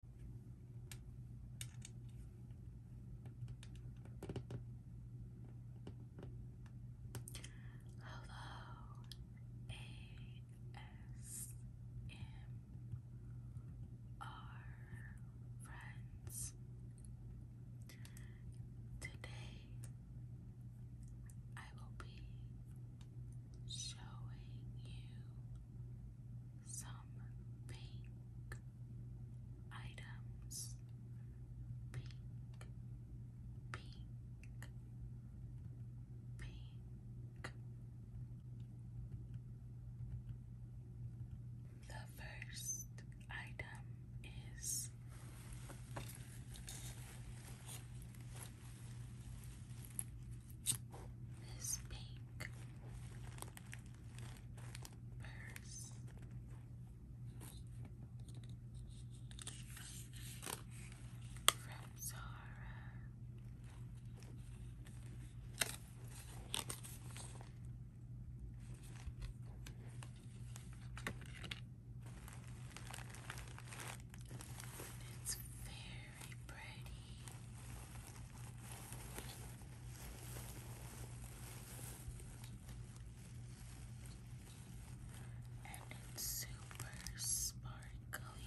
Hello, ASMR friends. Today I will be showing you some pink items. Pink, pink, pink. The first item is this pink purse. From Zara. It's very very pretty. And it's super sparkly.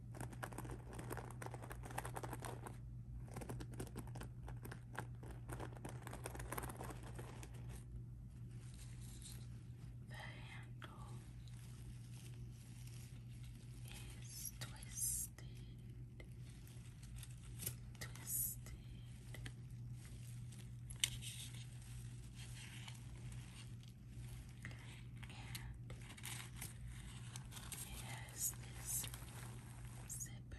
The handle is twisted, twisted. And it has this zipper.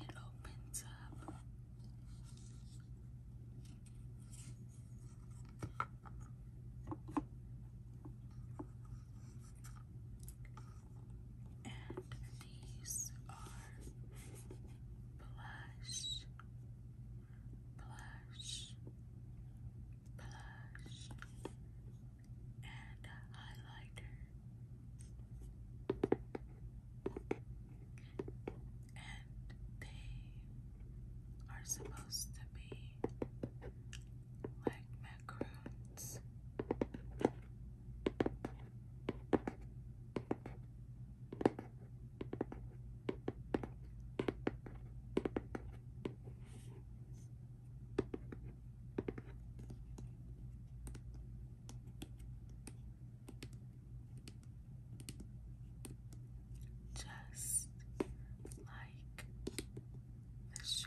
It opens up. And these are blush blush, blush, and highlighter. And they are supposed to be like macaroons. Just like the show.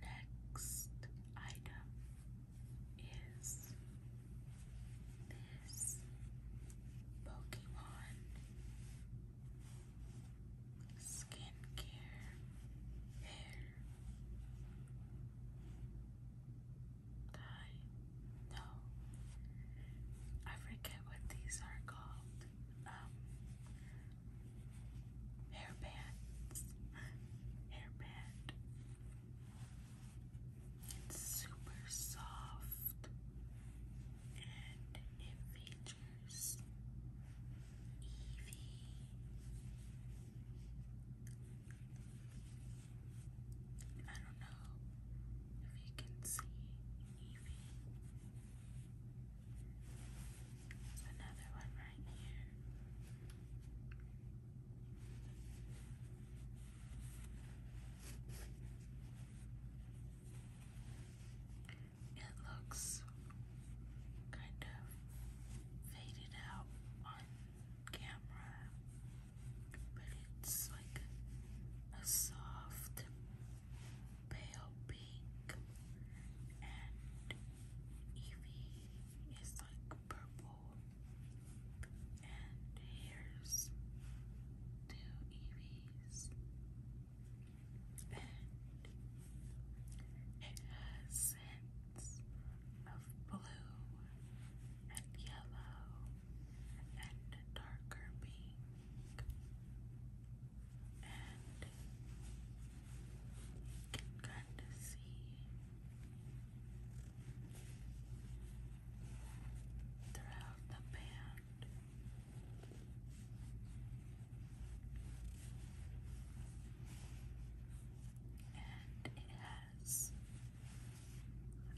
Next item is this Pokemon skincare hair. I know. Uh, I forget what these are called. Um, hair bands. It's super soft and it features Evie, I don't know if you can see Evie. Another one right here. It looks kind of faded out on camera, but it's like a soft pale pink, and Evie is like purple, and here's two Eevees, and it has of blue and yellow and darker pink, and kind of see throughout the band and it has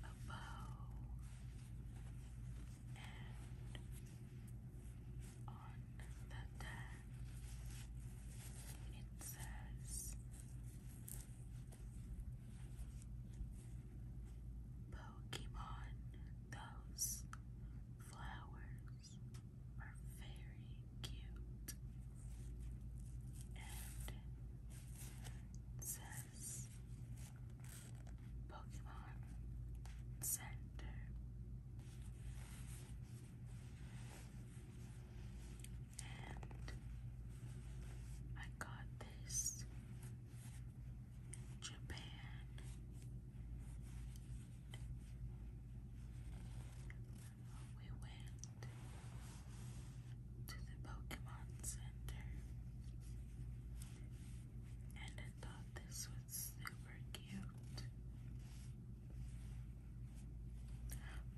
a bow and on the deck it says Pokemon those flowers animals are very cute. And says Pokemon Center. And I got this Japan we went to the Pokemon Center, and I thought this was super cute.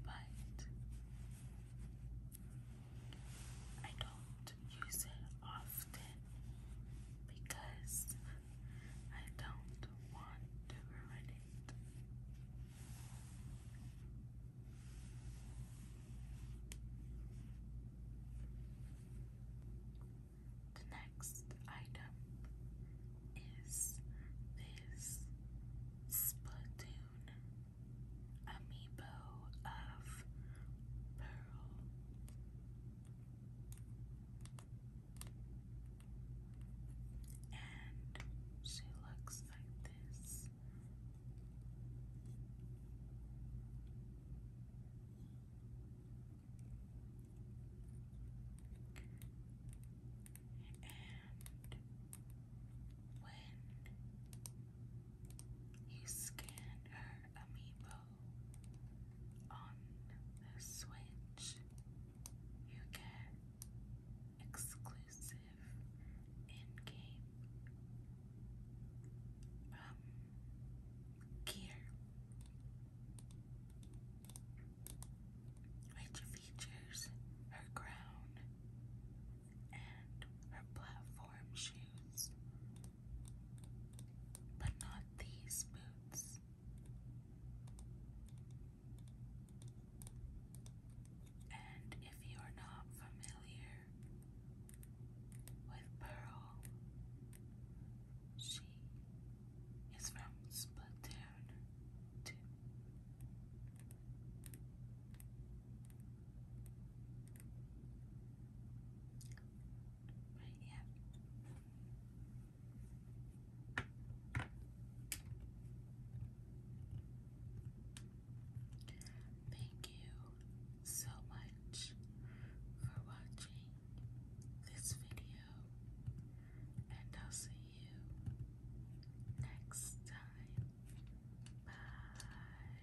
But I don't use it often because I don't want to ruin it. The next item is this Splatoon Amiibo of Pearl and she looks like this. And when you scan her amoeba, on the Switch, you get exclusive in-game um, gear, which features her crown and her platform shoes, but not these boots. And if you are not familiar with Pearl, she is from Splatoon Right, yeah. Thank you so much for watching this video, and I'll see you next time. Bye.